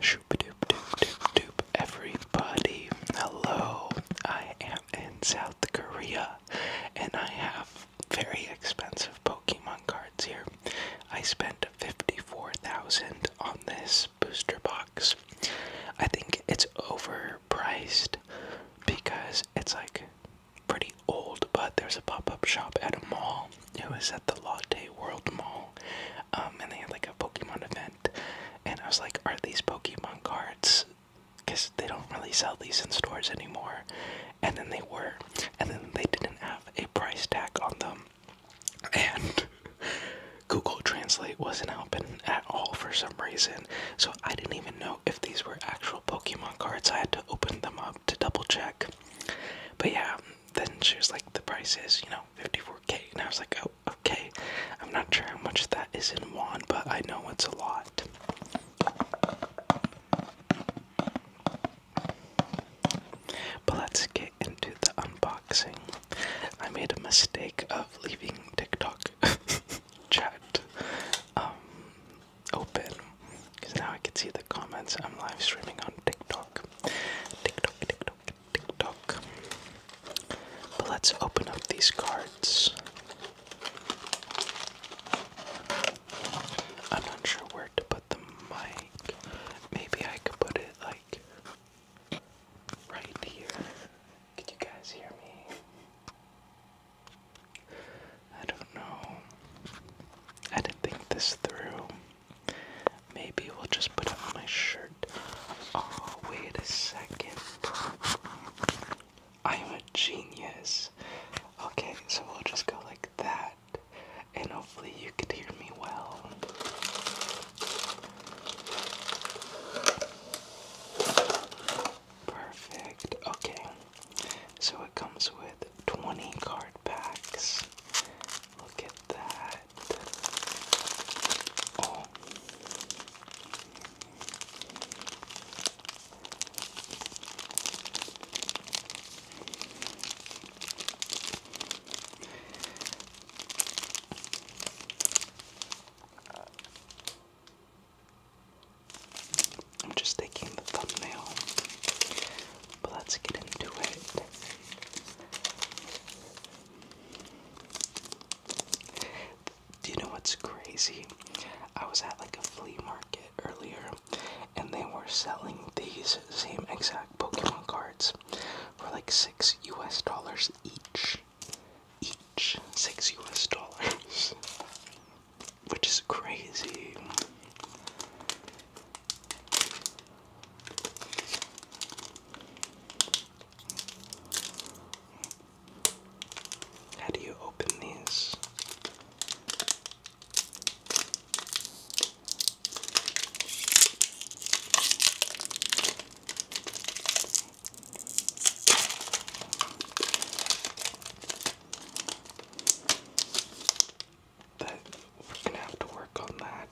Shoop doop doop doop doop everybody. Hello. I am in South Korea and I have very expensive Pokemon cards here. I spent 54,000 on this booster box. I think it's overpriced because it's like pretty old, but there's a pop-up shop at a mall. It was at the Latte World Mall. Um, and they had like a Pokemon event, and I was like, "Are these Pokemon cards?" Because they don't really sell these in stores anymore, and then they were, and then they didn't have a price tag on them, and Google Translate wasn't open at all for some reason. So I didn't even know if these were actual Pokemon cards. I had to open them up to double check. But yeah, then she was like, the price is, you know, 54 Okay, k and I was like, oh, okay. I'm not sure how much that is in one, but I know it's a lot. But let's get into the unboxing. I made a mistake of leaving TikTok chat um, open because now I can see the comments. I'm live streaming on TikTok. TikTok, TikTok, TikTok. But let's open up these cards. I'm not sure where to put the mic. Maybe I could put it like right here. Could you guys hear me? I don't know. I didn't think this through. Maybe we'll just put on my shirt. Oh, wait a second. I'm a genius. Okay, so we'll just go like that. And hopefully you can hear me well. Perfect. Okay. So it comes with 20 card packs. Look at that. Oh. I'm just taking the thumbnail, but let's get into it. Do you know what's crazy? I was at like a flea market earlier and they were selling these same exact Pokemon cards for like six US dollars each. Each six US dollars. Which is crazy. How do you open these? we're gonna have to work on that.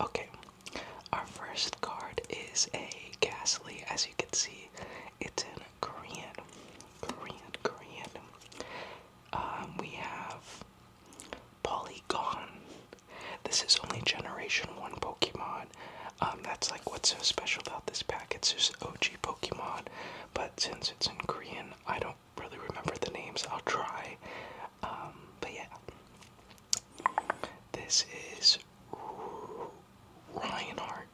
Okay, our first card is a Ghastly. As you can see, it's in Korean. Korean, Korean. Um, we have Polygon. This is only Generation 1 Pokemon. Um, that's like what's so special about this pack. It's just OG Pokemon, but since it's in Korean, I don't really remember the names. I'll try. Um, but yeah. This is Reinhardt,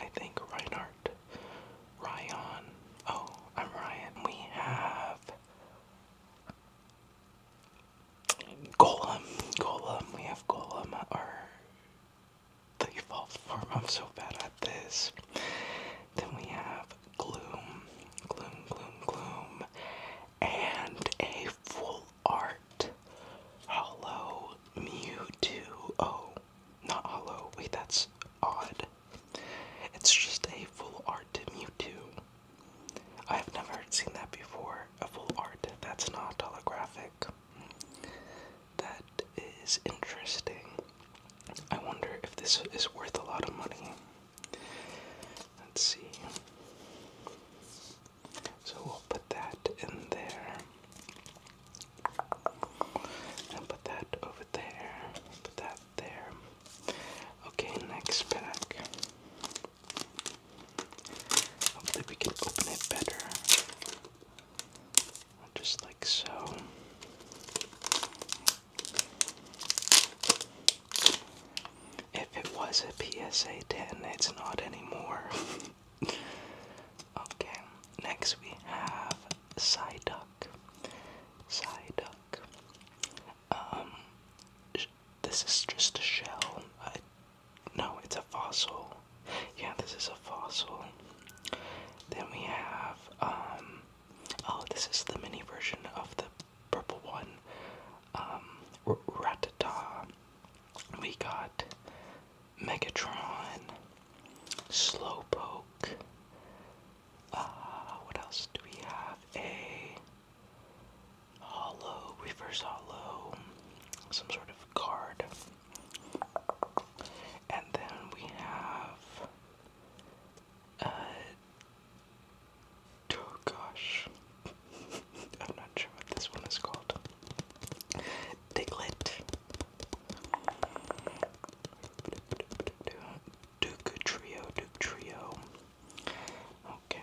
I think. Reinhardt. Ryan. Oh, I'm Ryan. We have Golem. Golem. We have Golem, or the evolved form. I'm so bad at this. Then we have Gloom. Gloom, Gloom, Gloom and a full art hollow Mewtwo. Oh, not hollow. Wait, that's odd. It's just a full art Mewtwo. I've never seen that before. A full art that's not holographic. That is interesting. I wonder if this is worth a lot of money. Let's see. So we'll put that in there. And put that over there. Put that there. Okay, next pack. Hopefully we can open it better. Just like so. If it was a PSA 10, it's not anymore. okay, next we have Psyduck. Psyduck. Um, this is just a shell. no, it's a fossil. Yeah, this is a fossil. Then we have, um, oh, this is the mini version of the purple one. Um, We got Megatron, Slowpoke. Uh, what else do we have? A hollow, reverse hollow, some sort of card. And then we have uh, Oh gosh. I'm not sure what this one is called. Diglett. Duke Trio, Duke Trio. Okay.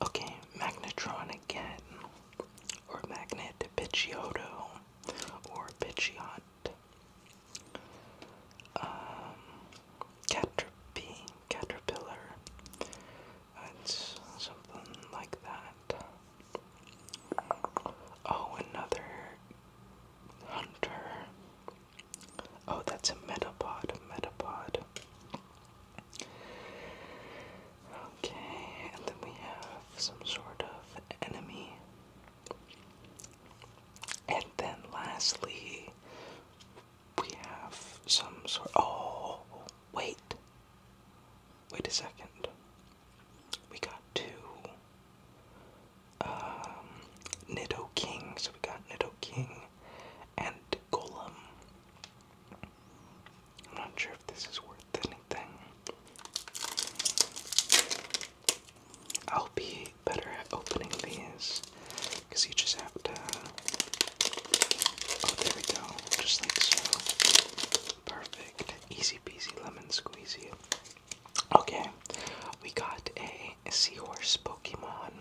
Okay, Magnetron again, or Magnet Pidgeotto, or Pidgeot. Um, Caterpie, Caterpillar, it's something like that. Oh, another hunter. Oh, that's a metapod, a metapod. Okay, and then we have some sort of enemy. And then lastly, we have some sort. Oh, wait. Wait a second. We got two. Um, Nido King. So we got Nido King and Golem. I'm not sure if this is worth anything. I'll be better at opening these because you just have to. Oh, there we go. Just like so. Perfect. Easy peasy lemon squeezy. Okay, we got a seahorse Pokemon.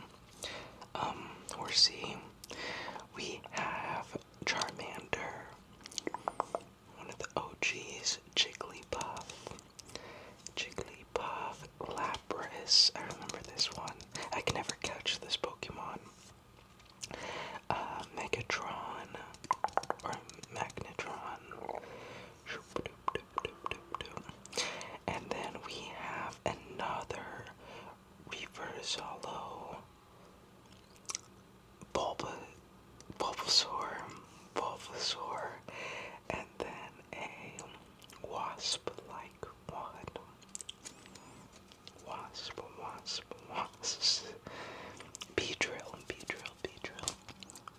Um, horsey. We have Charmander, one of the OGs, Jigglypuff, Jigglypuff, Lapras. I remember this one. I can never catch this Pokemon. Uh, Megatron or Magnetron. And then we have another Reverse Hollow Bulba Bulbasaur, Bulbasaur, and then a wasp-like one. Wasp, wasp, wasp. Beedrill, Beedrill, Beedrill,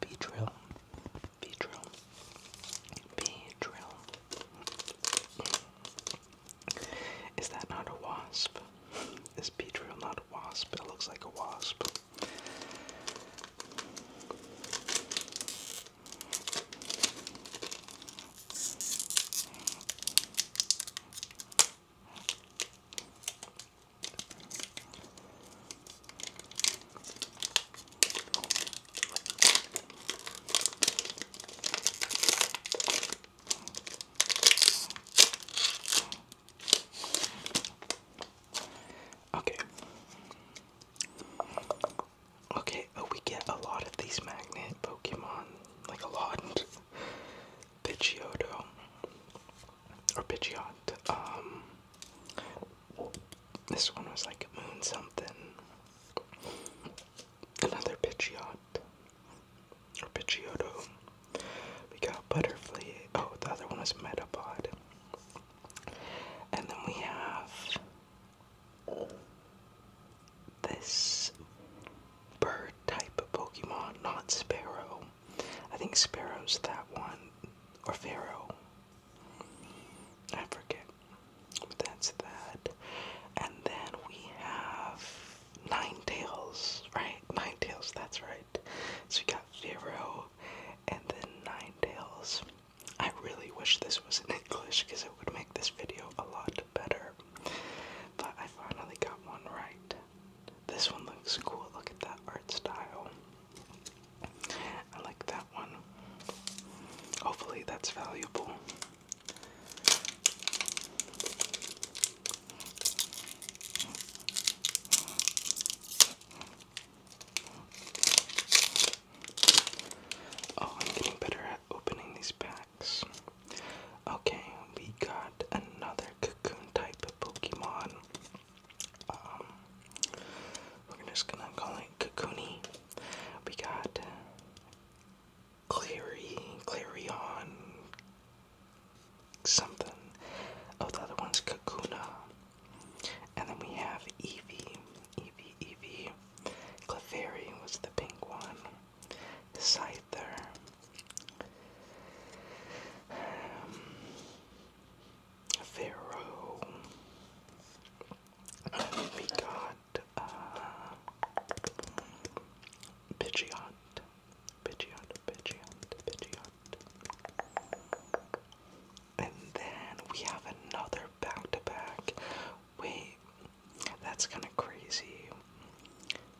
Beedrill, Beedrill, Beedrill. Is that not a wasp? Is Beedrill not a wasp? It looks like a wasp. Okay. Okay, oh, we get a lot of these magnet Pokemon, like a lot. Pidgeotto. Or Pidgeot. Um, this one was like Moon something another Pidgeot. Or Pidgeotto. We got Butterfly. Oh, the other one was Metapod. And then we have this bird type Pokemon, not Sparrow. I think Sparrow's that one, or Pharaoh. I forget. that's that. And then we have Nine Tails, right? Nine Tails, that's right. So we got Pharaoh and then Nine Tails. I really wish this was in English because it would make this video a lot better. But I finally got one right. This one looks cool. Look at that art style. I like that one. Hopefully that's valuable. Oh, I'm getting better at opening these packs. Okay, we got another cocoon type Pokemon. Um, we're just gonna call it Cocoony. We got Cleary, Clarion, something. Oh, the other one's Kakuna. And then we have Eevee, Eevee, Eevee. Clefairy was the pink one. Scyther. Um, Pharaoh. we got, uh, Pidgeot, Pidgeot, Pidgeot. And then we have another back-to-back. Wait, that's kind of crazy.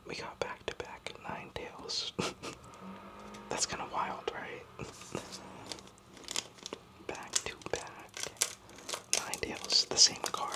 We got back-to-back -back to back 9 tails. that's kind of wild, right? back to back. Nine tails, the same card.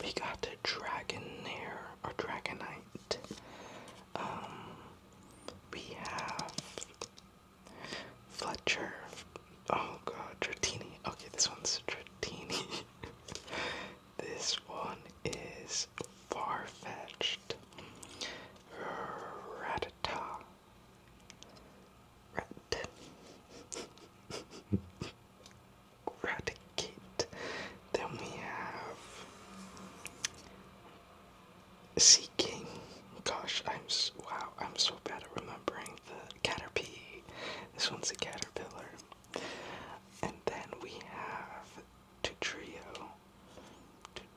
We got a Dragonair or Dragonite. Um, we have Fletcher. Oh god, Tratini. Okay, this one's Tratini. this one is far-fetched. Ratata. Rat. Raticate. Then we have Sea Gosh, I'm so, wow, I'm so bad at remembering the Caterpie. This one's a caterpillar. And then we have Tutrio.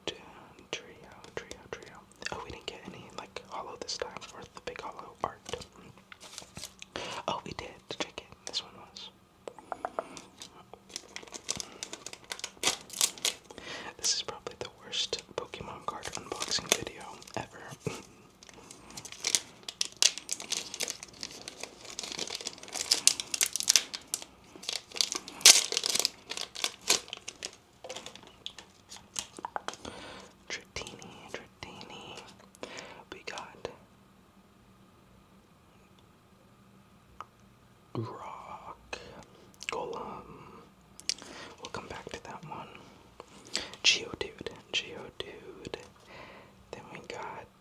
Trio, trio, trio. Oh, we didn't get any like hollow this time, or the big hollow art. Oh, we did This one was. This is probably the worst Pokemon card unboxing video ever. Dratini, Dratini. We got Rock, Golem. We'll come back to that one. Geodude, Geodude. Then we got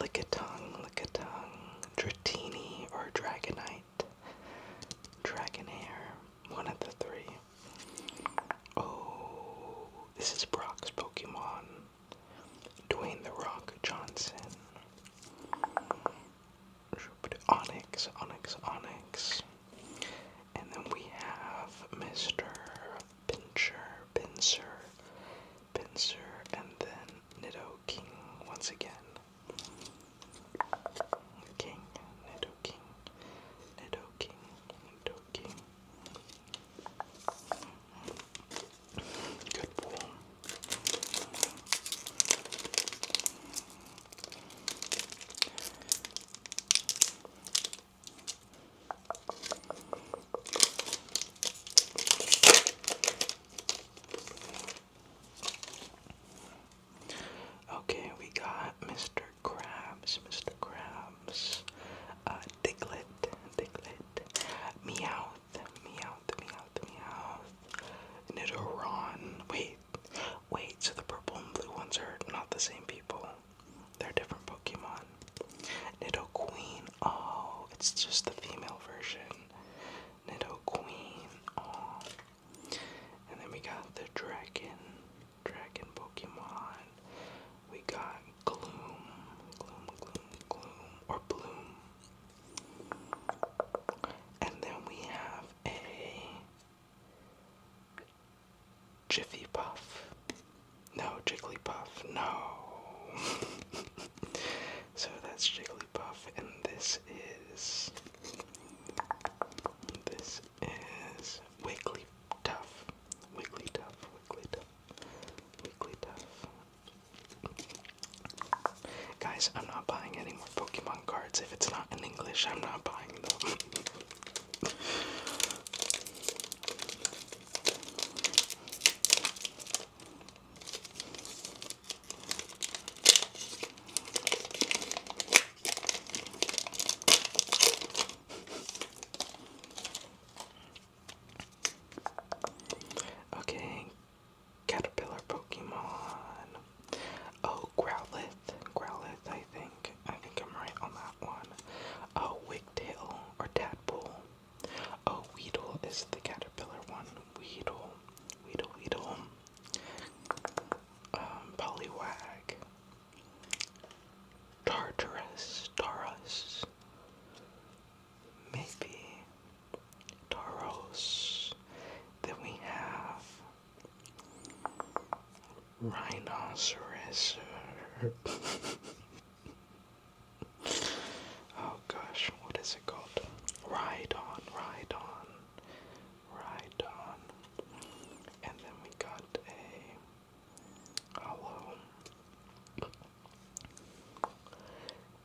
Lickitung, Lickitung, Dratini or Dragonite, Dragonair, one of the three. Oh, this is Brock's Pokemon. Dwayne The Rock Johnson. Onyx, Onyx, Onyx. And then we have Mr. Pincer, Pincer, Pincer, and then Nido King once again. King, Nido King, Nido talking and talking. Good boy. Okay, we got Mr. Krabs, Mr. Krabs, uh, Diglett, Diglett, Meowth, Meowth, Meowth, Meowth, Nidoron. Wait, wait, so the purple and blue ones are not the same people. They're different Pokemon. Nidoqueen, oh, it's just the female version. Nidoqueen, oh. And then we got the dragon, Dragon Pokemon. We got Gloom, Gloom, Gloom, Gloom, or Bloom. And then we have a Jiffy Puff. No, Jigglypuff. No. so that's Jigglypuff, and this is. This is Wiggly Tough. Wiggly Tough, Wiggly Tough, Wiggly Tough. Guys, I'm not buying any more Pokemon cards. If it's not in English, I'm not buying them. Okay, Caterpillar Pokemon. Oh, Growlithe. Growlithe, I think. I think I'm right on that one. Oh, Wigtail or Tadpole. Oh, Weedle is the Caterpillar one. Weedle. Weedle, Weedle. Um, Poliwag. Tartarus, Taurus, maybe Tauros. Then we have Rhinoceros. oh gosh, what is it called? Rhydon, Rhydon, Right on. And then we got a hollow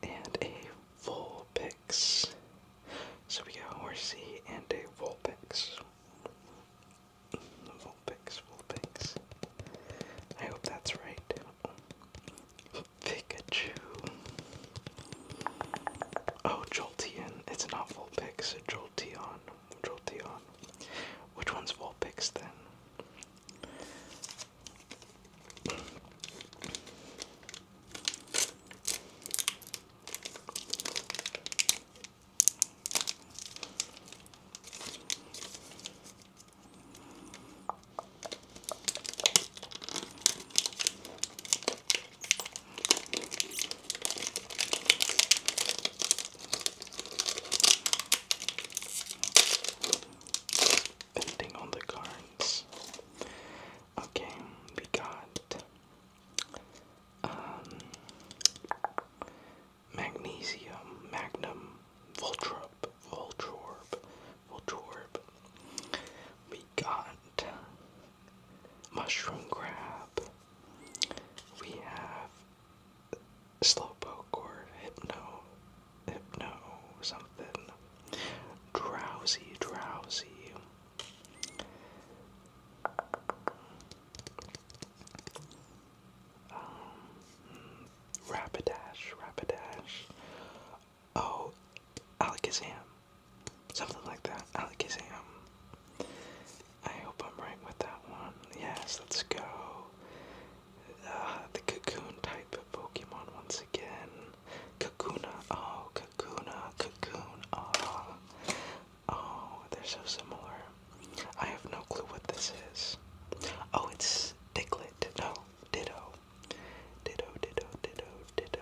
and a Vulpix. So we got Horsey and a Vulpix. Vulpix, Vulpix. I hope that's right. Pikachu. Oh, Joltian. It's not Vulpix, it's which one's Vulpix then? Anything on the cards? Okay, we got um, Magnesium, Magnum, Voltorb, Voltorb, Voltorb. We got Mushroom Crab, we have Slowpoke or Hypno, Hypno something, Drowsy, Drowsy. Um, Rapidash, Rapidash. Oh, Alakazam. Something like that. Alakazam. I hope I'm right with that one. Yes, let's go. Uh, the cocoon type of Pokemon once again. Kakuna. Oh, Kakuna. Cocoon. Oh. oh, they're so similar. I have no clue what this is. Oh, it's Diglett. No, Ditto. Ditto, Ditto, Ditto, Ditto.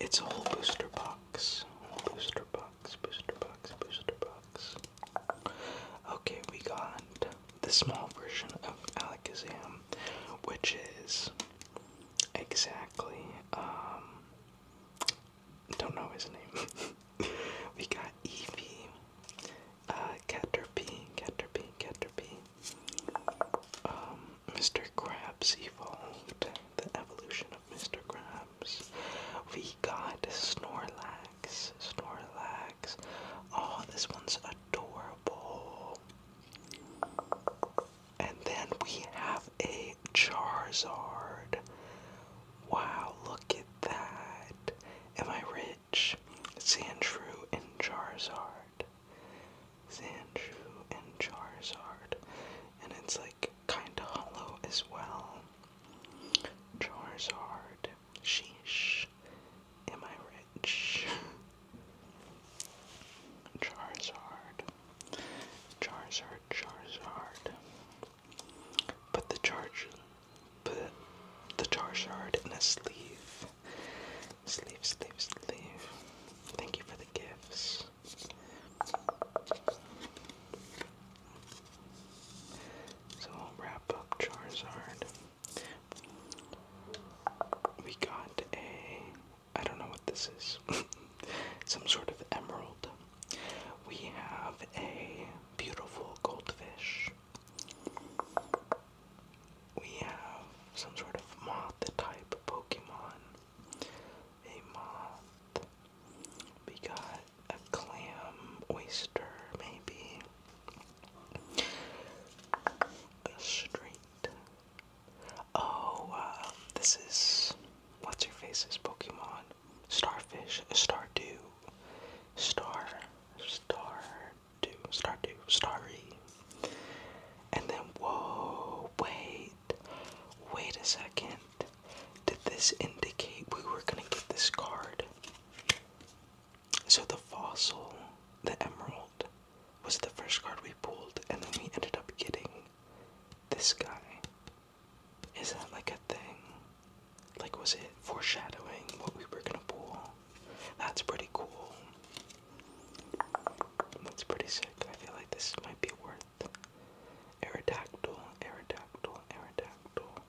It's a whole booster box. Booster box, booster box, booster box. Okay, we got the small version of Alakazam, which is exactly, um, don't know his name. we got Eevee, uh, Caterpie, Caterpie, Caterpie. Um, Mr. Krabs evolved, the evolution of Mr. Krabs. We got Snorlax, Snorlax. Oh, this one's adorable. And then we have a Charizard. Wow, look at that. Am I rich? Stitch, Sandshrew, and Charizard. Sandshrew and Charizard. And it's like kinda hollow as well. Charizard. Sheesh. Am I rich? Charizard. Charizard, Charizard. But the charge put the jar shard in a sleeve. Sleeve, sleeve, sleeve. Thank you for the gifts. So we'll wrap up Charizard. We got a. I don't know what this is. Some sort of emerald. We have a beautiful goldfish we have some sort of moth type Pokemon. A moth. We got a clam oyster, maybe. A straight. Oh, uh, this is. What's your face's Pokemon? Starfish, Stardew, Star, Star, two, star two, starry. And then, whoa, wait, wait a second. Did this indicate we were gonna get this card? So the fossil, the emerald, was the first card we pulled, and then we ended up getting this guy. Is that like a thing? Like, was it foreshadowing what we were gonna pull? That's pretty cool. That's pretty sick. I feel like this might be worth Aerodactyl, Aerodactyl, Aerodactyl.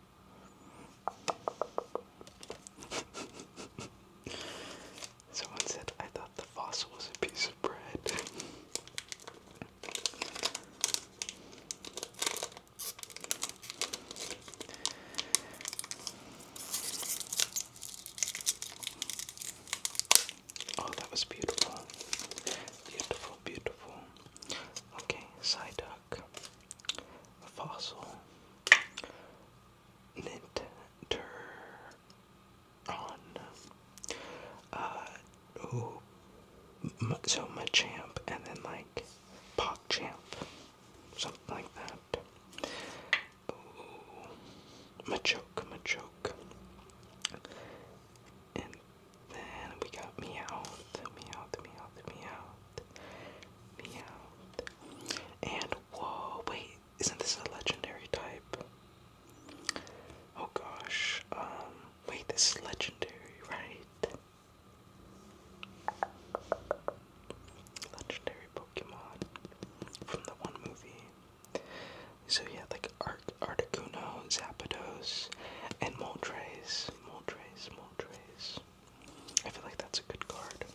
Someone said, I thought the fossil was a piece of bread. Oh, that was beautiful. Beautiful, beautiful. Okay, Psyduck, Fossil, Ninteron. Uh, ooh, so Machamp, and then like Pogchamp, something like that up. Ooh, Machoke, Machoke. And then we got Meowth, Meowth, Meowth, Meowth, Meowth. And whoa, wait, isn't this a legendary type? Oh gosh, um, wait, this is legendary, right? Legendary Pokemon from the one movie. So yeah, like Ar Articuno, Zapdos, and Moltres. Moltres, Moltres. I feel like that's a good card.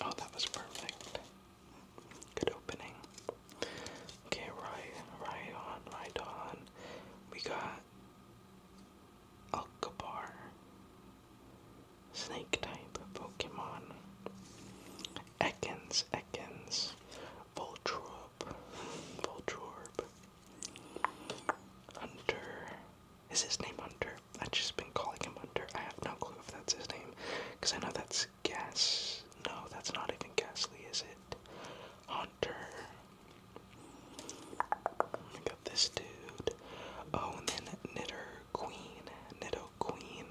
Oh, that was perfect. Good opening. Okay, right, right on, right on. We got Alcabar, Snake type Pokemon. Ekans, Ekans, Voltorb, Voltorb, Hunter. Is his name Hunter? I've just been calling him Hunter. I have no clue if that's his name, because I know that's Gas. No, that's not even Ghastly, is it? Hunter. I got this dude. Oh, and then Knitter Queen. Nitto Queen.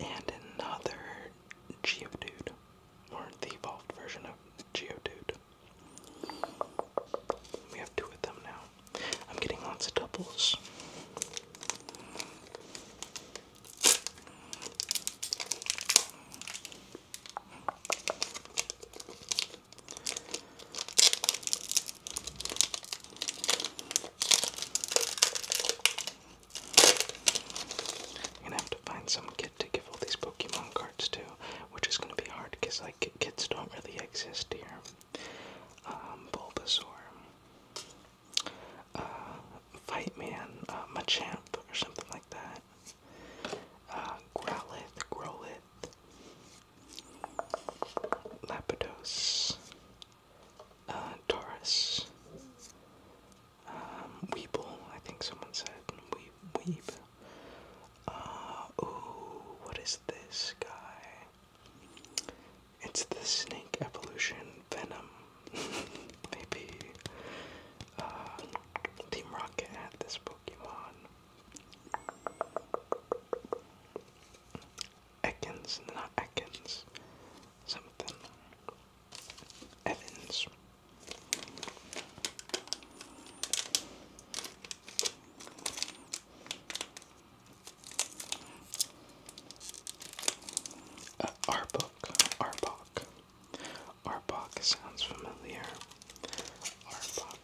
And another Geodude. Or the evolved version of Geodude. We have two of them now. I'm getting lots of doubles. gonna have to find some kid to give all these Pokemon cards to, which is gonna be hard because like kids don't really exist here. Um, Bulbasaur. Uh, fight Man, uh, Machamp, or something like that. Uh, Growlithe, Growlithe, Lapidos, Taurus, um, I think someone said, Weeb, Weeb. Uh, what is this guy? It's the snake evolution venom. Maybe uh, Team Rocket had this Pokemon. Ekans, not Ekans. Something. Evans. Arbok, uh, Arbok. Arbok sounds familiar. Arbok.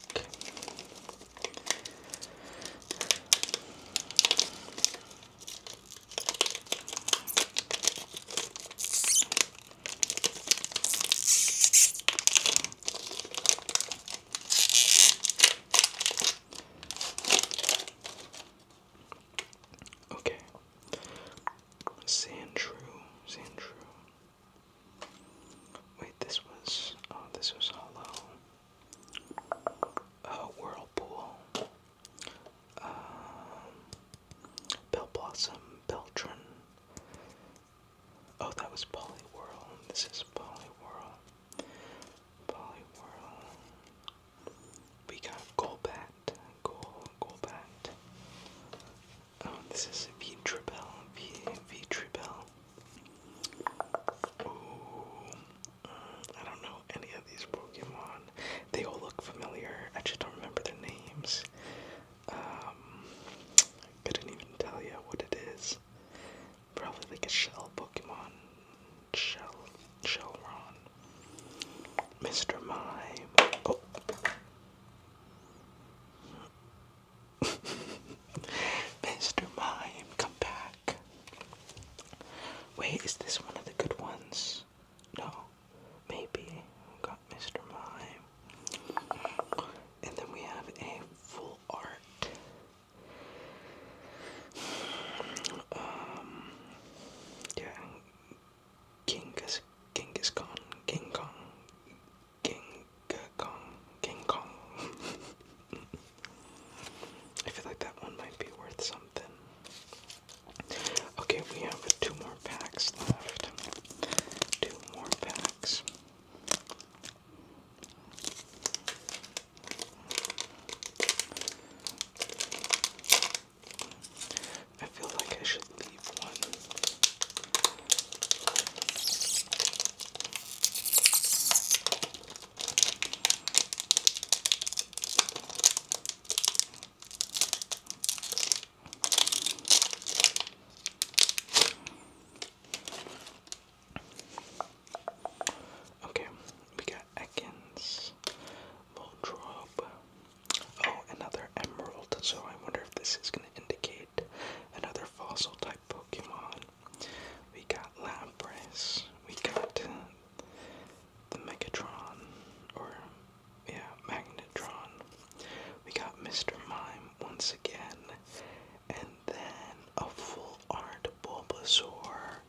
Okay. Sandrew, Sandrew. Wait, this was oh, this was hollow. Oh, whirlpool. Um, Beltran. Oh, that was Poliwhirl. This is Poliwhirl. Poliwhirl. We got Golbat. Gol Golbat. Oh, this is V V V Ooh. I don't know any of these Pokemon. They all look familiar. I just don't remember their names. Um, couldn't even tell you what it is. Probably like a shell Pokemon. Shell Shellron. Mr. Mime. Oh. Mr. Mime, come back. Wait, is this one of the good ones? No. Maybe. got Mr. Mime. And then we have a full art um, King is Genghis, Genghis Khan, King Kong, King Kong, King Kong. I feel like that one might be worth something. Okay, we have two more packs left. Two more packs. I feel like I should leave one. Okay, we got Ekans, Voltrob. Oh, another emerald. So I wonder if this is going to indicate another fossil type Pokemon. We got Lapras. We got the Megatron, or yeah, Magnetron. We got Mr. Mime once again, and then a full art Bulbasaur.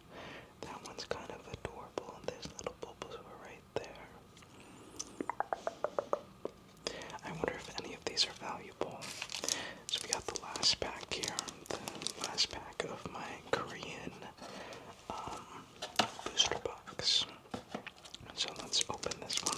That one's kind of adorable, and there's little bubbles right there. I wonder if any of these are valuable. So we got the last pack here, the last pack of my Korean um, booster box. So let's open this one.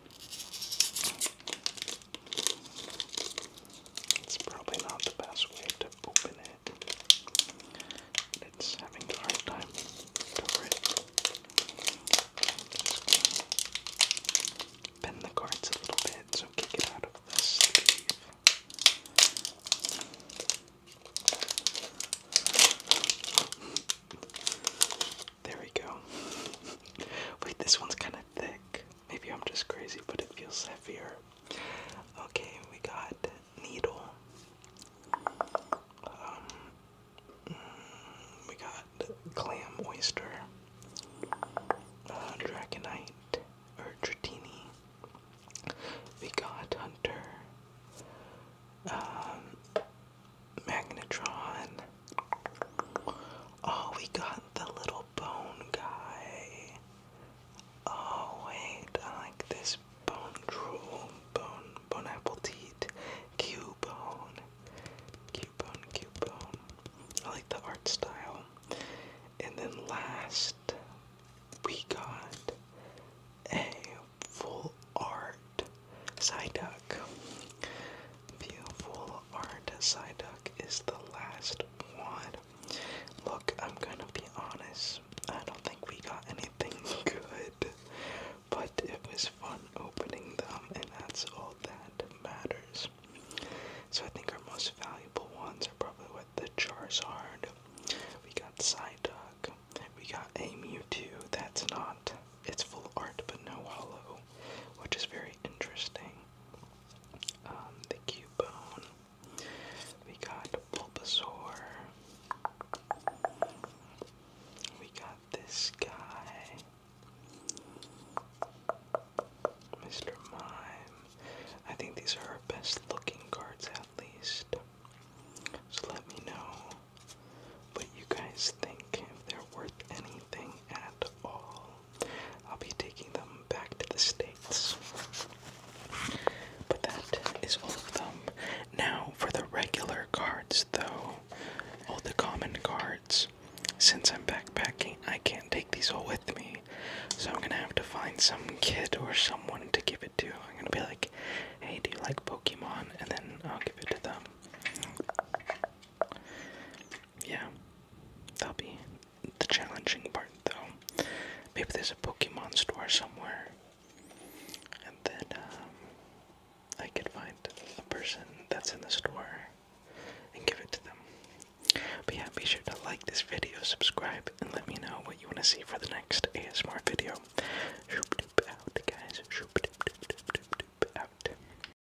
It's probably not the best way to open it. It's having a hard time over it. Bend the cards a little bit, so kick it out of the sleeve. There we go. Wait, this one's kind of thick. Maybe I'm just crazy, but it feels heavier. Okay, we got needle. Um, mm, we got clam oyster, uh, dragonite, or dratini. We got hunter. Um, Magnetron. Oh, we got the little bone guy. Oh, wait, I like this bone drool, bone, bone apple teat, Q-bone, Q-bone, Q-bone. I like the art style. And then last, we got a full art Psyduck. Beautiful art Psyduck is the last one. Look, I'm gonna be honest. I don't think we got anything good, but it was fun opening them, and that's all that matters. So I think our most valuable ones are probably what the Charizard. We got Psyduck. We got a Mewtwo. That's not it's full art but no hollow, which is very interesting. Um, the Cubone, we got Bulbasaur, we got this guy. Mr. Mime. I think these are our best looking cards at least. So let me know what you guys think, if they're worth anything at all. I'll be taking them back to the States. But that is all of them. Now, for the regular cards, though, all the common cards, since I'm backpacking, I can't take these all with me. So I'm gonna have to find some kid or someone to give it to. I'm gonna be like, hey, do you like Pokemon? And then I'll give it to them yeah, that'll be the challenging part though. Maybe there's a Pokemon store somewhere, and then um, I could find a person that's in the store and give it to them. But yeah, be sure to like this video, subscribe, and let me know what you want to see for the next ASMR video. out, guys. out.